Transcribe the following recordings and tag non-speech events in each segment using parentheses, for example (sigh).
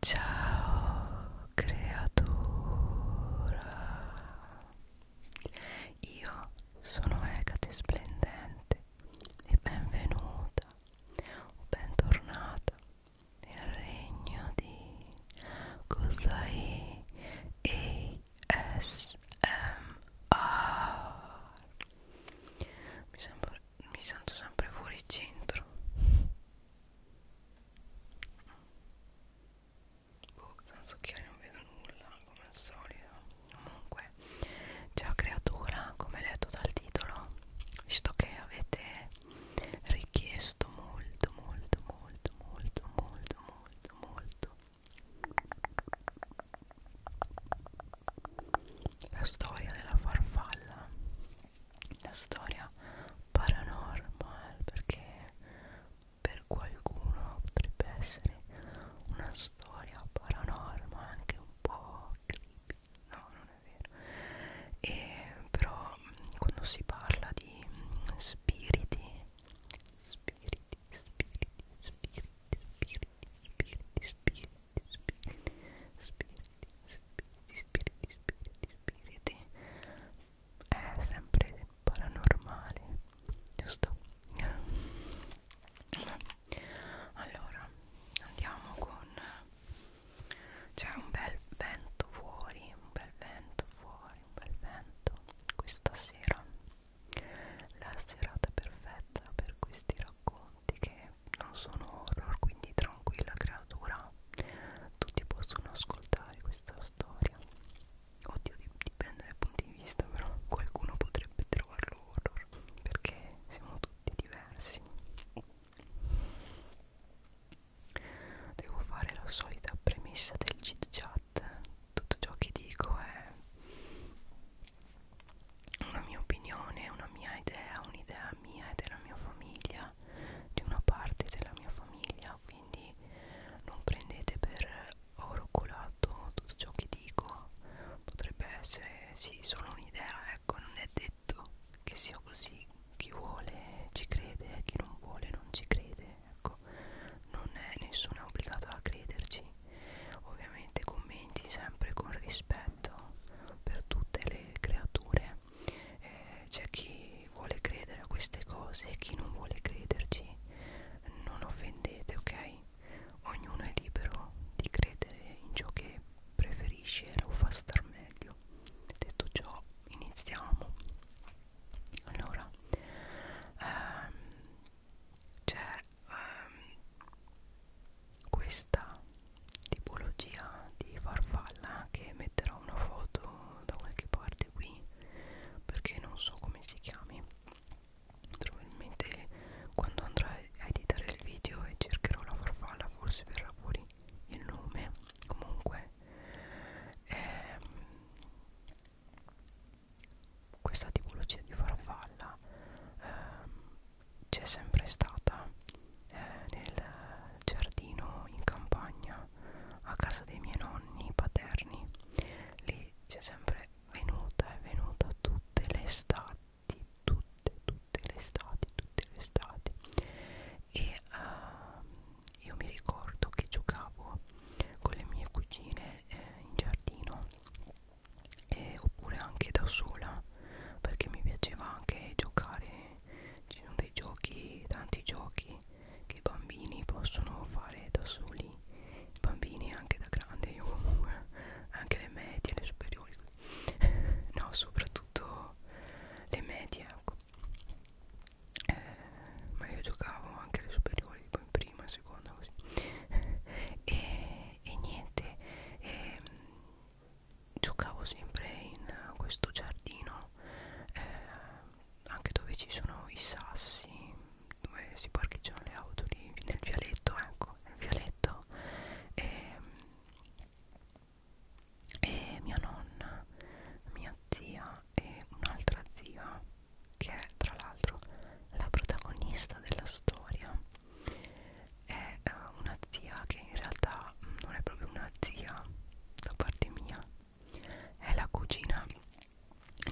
Ciao creatura, io sono Ecate Splendente e benvenuta o bentornata nel regno di Kusai ASMR. Mi, sembra, mi sento sempre fuori centro Boh, senza occhiali non vedo nulla come al solito. Comunque, ciao creatura, come letto dal titolo, visto che avete richiesto molto, molto, molto, molto, molto, molto, molto la storia della farfalla la storia paranormal perché per qualcuno potrebbe essere una storia paranormal anche un po' creepy no non è vero e però quando si parla di spiriti spiriti spiriti spiriti spiriti spiriti spiriti spiriti spiriti spiriti, spiriti, spiriti, spiriti è sempre paranormale, giusto? Allora, andiamo con... c'è un bel vento fuori, un bel vento fuori, un bel vento questa sera. La serata perfetta per questi racconti che non sono horror, quindi tranquilla creatura tutti possono ascoltare questa storia oddio dipende dal punto di vista però qualcuno potrebbe trovarlo horror perché siamo tutti diversi devo fare la solita premessa del chit chat tutto ciò che dico è una mia opinione, una mia idea, un'idea mia e della mia famiglia famiglia di una parte della mia famiglia quindi non prendete per oro colato tutto ciò che dico potrebbe essere sì solo un'idea ecco non è detto che sia così chi vuole ci crede chi non vuole non ci crede ecco non è nessuno è obbligato a crederci ovviamente commenti sempre con rispetto per tutte le creature cioè eh, c'è chi vuole credere a queste cose e chi non vuole crederci non offendete ok ognuno è libero di credere in ciò che preferisce o fa star meglio detto ciò iniziamo allora ehm, c'è ehm, questa tipologia di farfalla che metterò una foto da qualche parte qui perché non so come si chiami probabilmente quando andrò a editare il video e cercherò la farfalla forse verrà fuori il nome comunque ehm, questa tipologia di farfalla ehm, c'è sempre stata eh, nel giardino in campagna a casa dei miei nonni paterni lì c'è sempre venuta è venuta tutte le estati tutte tutte le estati tutte le estati e uh, io mi ricordo che giocavo con le mie cugine eh, in giardino e, oppure anche da sola perché mi piaceva anche giocare ci sono dei giochi, tanti giochi che i bambini possono fare da soli, i bambini anche da grandi, io (laughs) comunque, anche le medie, le superiori, (laughs) no, soprattutto le medie, ecco. Eh, ma io giocavo anche alle superiori, tipo in prima, in seconda, così. (laughs) e, e niente, e, ehm, giocavo sempre in questo giardino eh, anche dove ci sono i sassi dove si parcheggiano le auto lì nel vialetto ecco nel vialetto e, e mia nonna mia zia e un'altra zia che è tra l'altro la protagonista della storia è eh, una zia che in realtà non è proprio una zia da parte mia è la cugina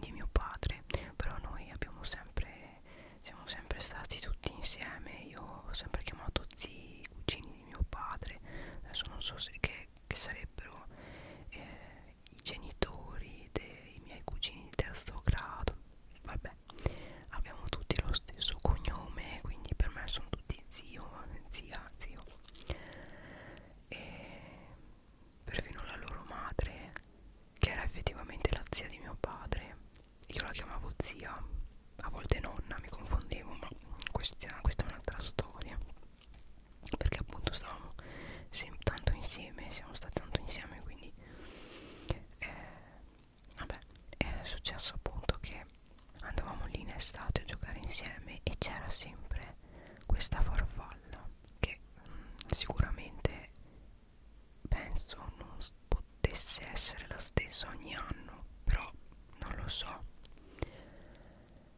di mio padre però noi abbiamo sempre siamo sempre stati tutti insieme io ho sempre chiamato zii cugini di mio padre adesso non so se che, che sarebbero eh, i genitori dei miei cugini di terzo grado vabbè abbiamo tutti lo stesso cognome quindi per me sono tutti zio zia zio e perfino la loro madre che era effettivamente la zia di mio padre io la chiamavo zia a volte nonna mi confondevo ma questa, questa è un'altra storia perché appunto stavamo tanto insieme siamo stati tanto insieme quindi eh, vabbè è successo appunto che andavamo lì in estate a giocare insieme e c'era sempre questa farfalla che mh, mm, sicuramente penso non potesse essere la stessa ogni anno però non lo so e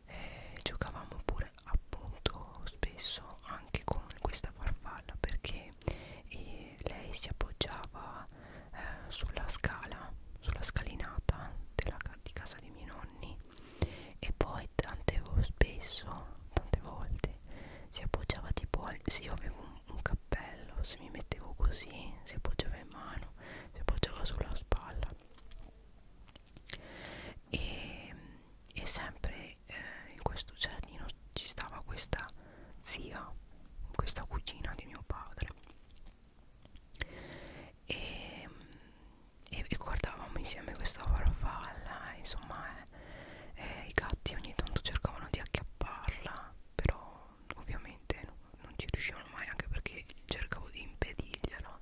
eh, giocavamo pure appunto spesso anche con questa farfalla perché e eh, lei si appoggiava eh, sulla scala sulla scalinata della, di casa dei miei nonni e poi tante spesso tante volte si appoggiava tipo se io avevo un, un cappello se mi mettevo così si appoggiava in mano si appoggiava sulla spalla e, e sempre eh, in questo giardino ci stava questa zia questa cugina di mio padre e, e, e guardavamo insieme questa farfalla insomma eh, eh, i gatti ogni tanto cercavano di acchiapparla però ovviamente no, non ci riuscivano mai anche perché cercavo di impedirglielo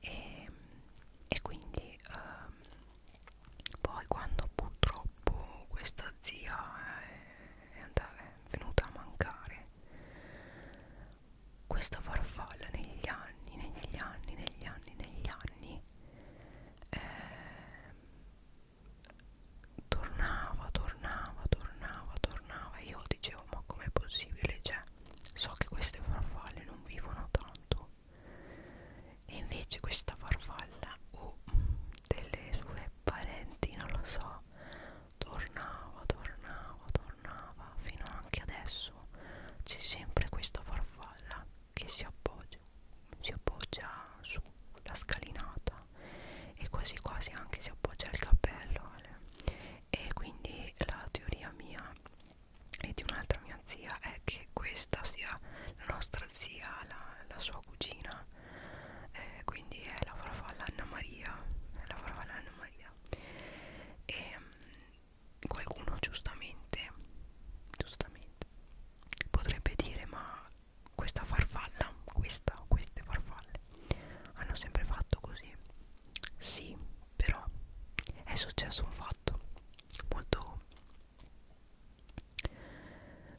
e, e quindi ehm, poi quando purtroppo questa zia è, eh, è, andata, è venuta a mancare questa farfalla negli anni, negli anni, negli anni, negli anni eh, tornava, tornava, tornava, tornava. Io dicevo, ma com'è possibile? Cioè, so che queste farfalle non vivono tanto. E invece questa farfalla o oh, delle sue parenti, non lo so, tornava, tornava, tornava fino anche adesso c'è sempre questa farfalla che si appoggia, si appoggia sulla scalinata e quasi quasi anche si appoggia al cappello e quindi la teoria mia e di un'altra mia zia è che questa sia la nostra zia, la, la sua cugina eh, quindi è la farfalla Anna Maria è la farfalla Anna Maria idea e ehm, qualcuno giustamente giustamente potrebbe dire ma questa farfalla questa o queste farfalle hanno sempre fatto così sì però è successo un fatto molto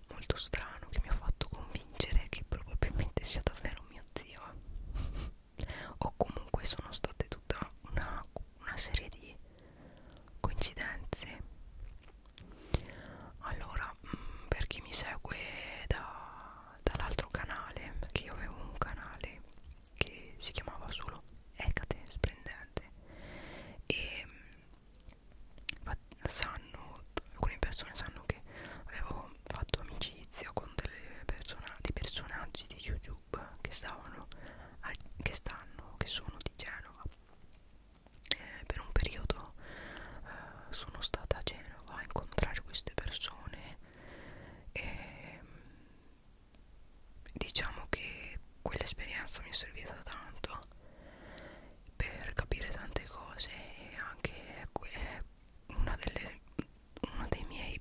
molto strano che mi ha fatto convincere che probabilmente sia davvero mio zio o comunque sono state tutta una, una serie di coincidenze allora mh, mm, per chi mi segue da, dall'altro canale perché io avevo un canale che si chiamava solo Ecate Splendente e mh, mm, sanno alcune persone sanno anno che avevo fatto amicizia con delle persone, dei personaggi di YouTube che stavano a, che stanno, che sono di Genova. Eh, per un periodo eh, sono stata a Genova a incontrare queste persone e mm, diciamo che quell'esperienza mi è servita tanto per capire tante cose e anche eh, eh, una delle uno dei miei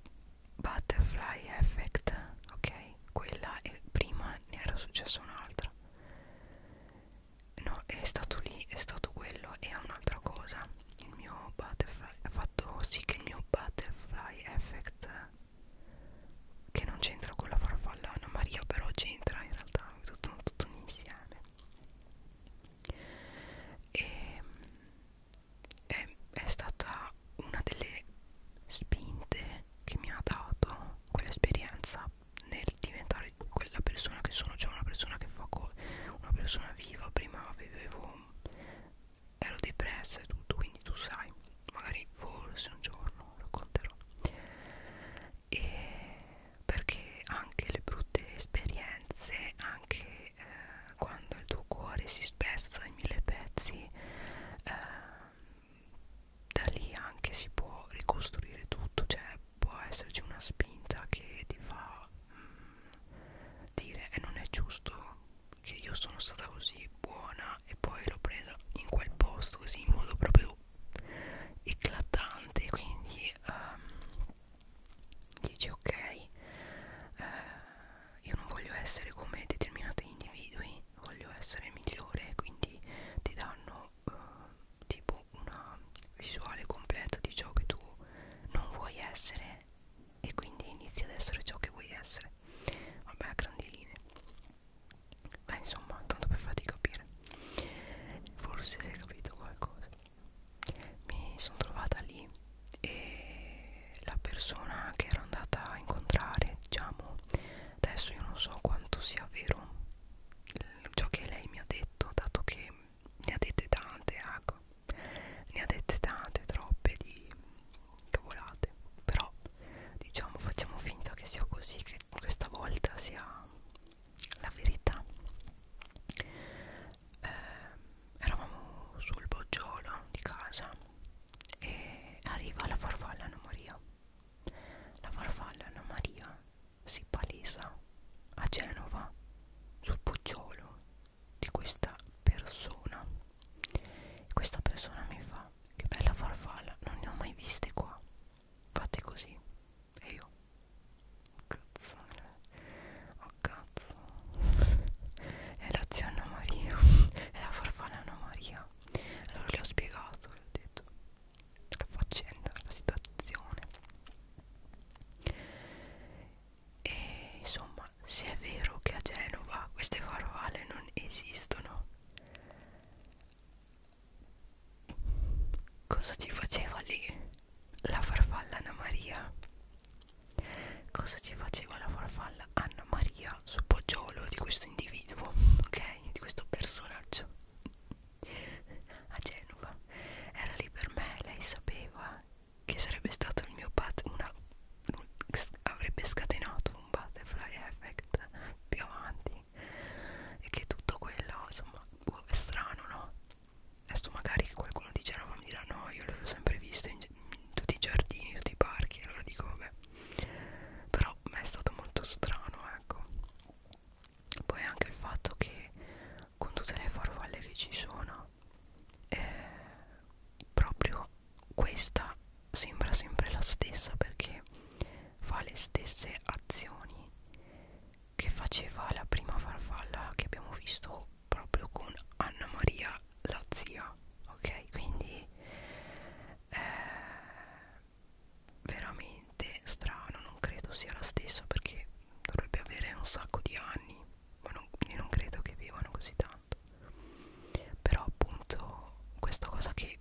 butterfly effect ok quella e prima ne era successa un'altra no è stato lì è stato quello e un'altra cosa il mio butterfly ha fatto sì che il mio butterfly effect che non c'entra con la farfalla Anna Maria però c'entra in realtà è tutto, tutto un insieme e ehm, è, è stata una delle spinte che mi ha dato quell'esperienza nel diventare quella persona che sono, cioè una persona che fa cose, una persona viva, prima avevo, ero depressa e tutto, quindi tu sai, magari forse un giorno racconterò. E perché anche le brutte esperienze, anche eh, quando il tuo cuore si spezza in mille pezzi eh, da lì anche si può ricostruire tutto cioè può esserci una spinta che ti fa mh, mm, dire e eh, non è giusto che io sono stata così buona e poi l'ho presa in quel posto così in modo proprio eclatante quindi um, dici ok eh, io non voglio essere come determinati individui voglio essere migliore quindi ti danno eh, tipo una visuale completa di ciò che tu non vuoi essere e quindi inizi ad essere ciò che vuoi essere vabbè a grandi linee beh insomma tanto per farti capire forse si è capito qualcosa mi sono trovata lì e la persona che ero andata a incontrare diciamo adesso io non so quanto sia vero ciò che lei mi ha detto dato che ne ha dette tante ecco ne ha dette tante troppe di cavolate però diciamo facciamo finta che sia così che questa volta sia la verità eh, eravamo sul boggiolo di casa e arriva la farfalla Anna Maria la farfalla Anna Maria si palesa a Genova sul boggiolo di questa persona questa persona mi fa che bella farfalla non ne ho mai viste qua fate così e io Cazzone Oh cazzo È la zia Anna Maria È la farfalla Anna Maria Allora le ho spiegato Le ho detto La faccenda, la situazione E insomma Se è vero che a Genova Queste farfalle non esistono Cosa ci faceva lì? la farfalla Anna Maria cosa ci faceva la farfalla Anna Maria sul poggiolo di questo individuo ok di questo personaggio a Genova era lì per me lei sapeva che sarebbe stato il mio pat una avrebbe scatenato un butterfly effect più avanti e che tutto quello insomma è strano no adesso magari qualcuno di Genova mi dirà no io l'ho sempre visto in, in tutti i giardini, in tutti i parchi allora dico vabbè però mi è stato molto strano ecco poi anche il fatto che con tutte le farfalle che ci sono eh, proprio questa sembra sempre la stessa perché fa le stesse azioni che faceva la prima farfalla che abbiamo visto proprio con Anna Maria la zia ok quindi eh, veramente strano non credo sia la stessa perché dovrebbe avere un sacco di anni ma non, io non credo che vivano così tanto però appunto questa cosa che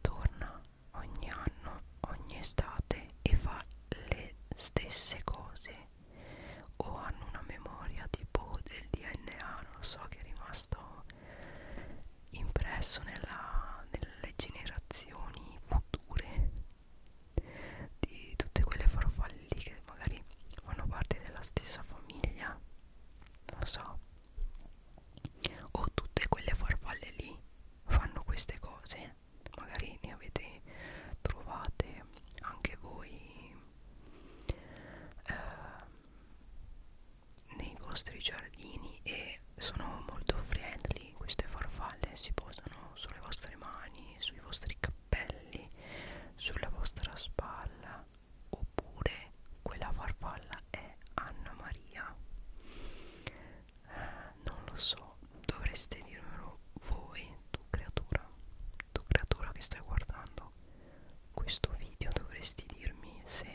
torna ogni anno ogni estate e fa le stesse cose o hanno una memoria tipo del DNA, non lo so, che è rimasto impresso nella, nelle generazioni future di tutte quelle farfalle lì che magari fanno parte della stessa famiglia, non lo so, o tutte quelle farfalle lì fanno queste cose magari ne avete trovate anche voi eh, nei vostri giardini e sono molto friendly queste farfalle si posano sulle vostre mani sui vostri cappelli sulla vostra spalla oppure quella farfalla è Anna Maria eh, non lo so dovreste dirmelo voi tu creatura tu creatura che stai guardando questo video dovresti dirmi se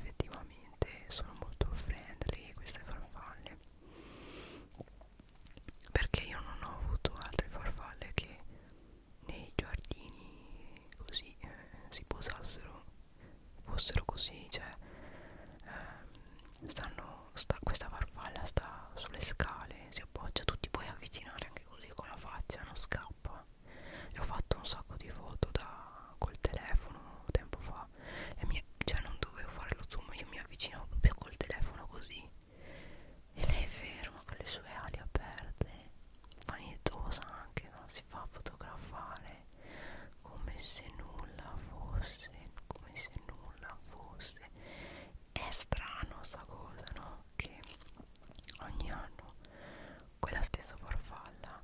effettivamente sono molto friendly queste farfalle perché io non ho avuto altre farfalle che nei giardini così eh, si posassero fossero così cioè ehm, stanno sta, questa farfalla sta sulle scale si appoggia tu ti puoi avvicinare anche così con la faccia non scappa e ho fatto un sacco di foto da, col telefono tempo fa e mi, cioè non dovevo fare lo zoom io mi avvicinavo proprio col telefono così e lei è ferma con le sue ali aperte vanitosa anche non si fa fotografare come se nulla fosse come se nulla fosse è strano sta cosa no? che ogni anno quella stessa farfalla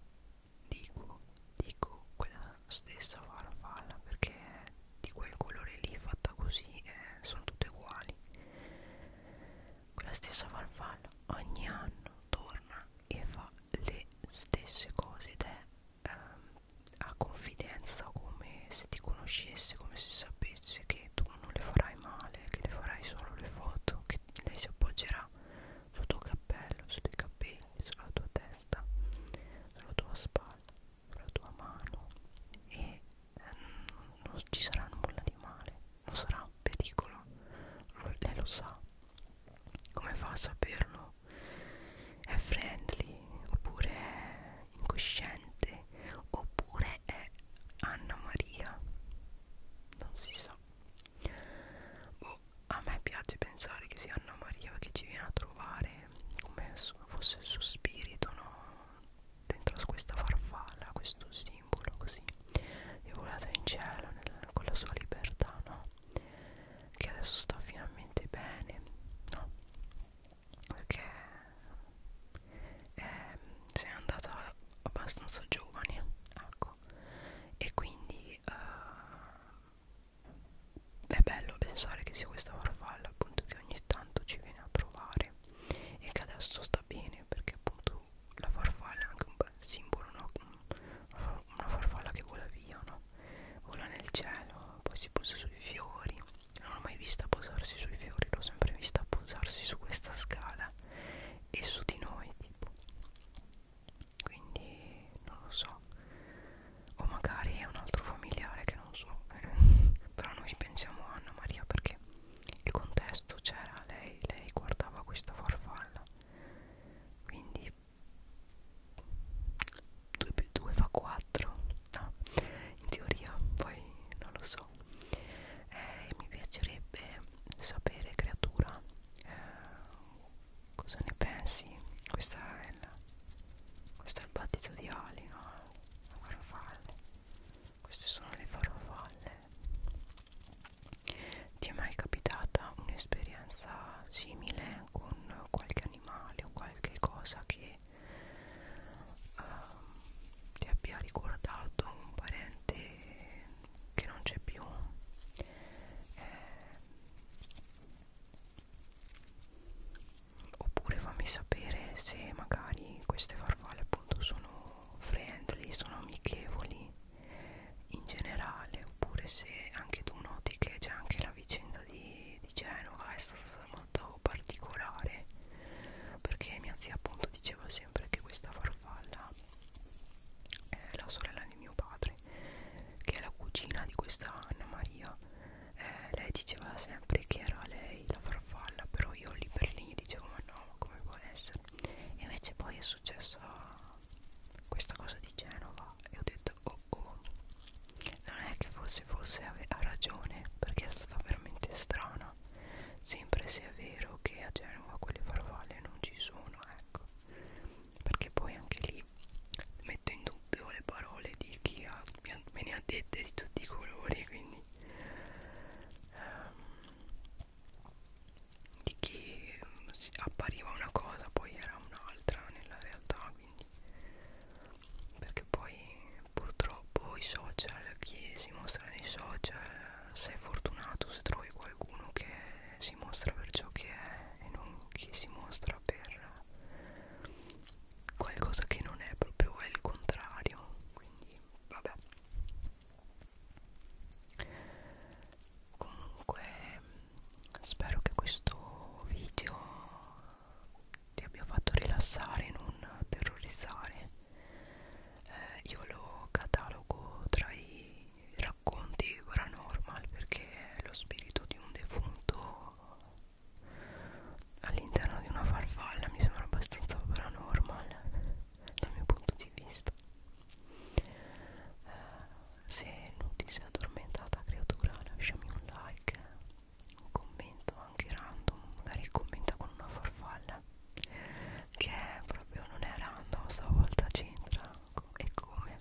dico dico quella stessa farfalla perché di quel colore lì fatta così eh, sono tutte uguali quella stessa farfalla ogni anno torna e fa le stesse cose ed è ehm, ha confidenza come se ti conoscesse come se sapesse che tu non le farai male che le farai solo le foto che lei si appoggerà sul tuo cappello sui tuoi capelli sulla tua testa sulla tua spalla sulla tua mano e eh, non ci sarà nulla di male non sarà un pericolo lei lo sa come fa a saperlo è friendly oppure è incosciente oppure è Anna Maria non si sa boh, a me piace pensare che sia Anna Maria che ci viene a trovare come fosse il suo spirito no? dentro a questa farfalla questo simbolo così è volata in cielo nel, con la sua libertà no? che adesso sta finalmente bene no? perché ehm, se n'è andata abbastanza giovane ecco e quindi eh, è bello pensare che sia questa farfalla appunto che ogni tanto ci viene a trovare e che adesso sta bene perché appunto la farfalla è anche un bel simbolo no? una farfalla che vola via no? vola nel cielo poi si posa sui fiori non l'ho mai vista posarsi sui fiori, l'ho sempre vista posarsi su questa scala e su di noi tipo quindi non lo so o magari è un altro familiare che non so (laughs) però noi pensiamo a Anna Maria perché il contesto c'era lei lei guardava questa farfalla quindi 2 più 2 fa 4 no, in teoria, poi non lo so. Eh, mi piacerebbe sapere, creatura, eh, cosa ne pensi. Questa è la, questo è il battito di ali, no? La farfalle. Queste sono le farfalle. Ti è mai capitata un'esperienza simile con qualche animale o qualche cosa che um, ti abbia ricordato un parente che non c'è più eh, oppure fammi sapere se magari queste farfalle appunto sono friendly sono amichevoli in generale oppure se anche tu noti che c'è anche la vicenda di, di Genova è stata stata molto particolare perché mia zia appunto diceva sempre che questa farfalla è la sorella di mio padre che è la cugina di questa Anna Maria eh, lei diceva sempre che era lei la farfalla però io lì per lì dicevo ma no ma come può essere e invece poi è successa questa cosa di Genova e ho detto oh oh non è che forse forse ha ragione perché è stata veramente strana zona sempre se è vero che a Genova quelle farfalle non ci sono ecco perché poi anche lì metto in dubbio le parole di chi ha, me ne ha dette di tutti i colori quindi um, di chi appariva una cosa poi era un'altra nella realtà quindi perché poi purtroppo i social, chi si mostra nei social, sei fortunato se trovi qualcuno che si mostra per ciò che è e non chi si mostra per qualcosa che non è proprio è il contrario, quindi vabbè. Comunque spero che questo video ti abbia fatto rilassare non terrorizzare eh, io lo catalogo tra i racconti paranormal perché è lo spirito di un defunto all'interno di una farfalla mi sembra abbastanza paranormal dal mio punto di vista eh, se non ti sei addormentata creatura lasciami un like un commento anche random magari commenta con una farfalla Ren che proprio non è random stavolta c'entra e come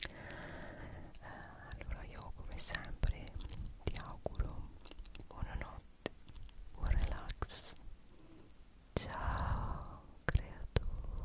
eh, allora io come sempre ti auguro buonanotte buon relax ciao creatura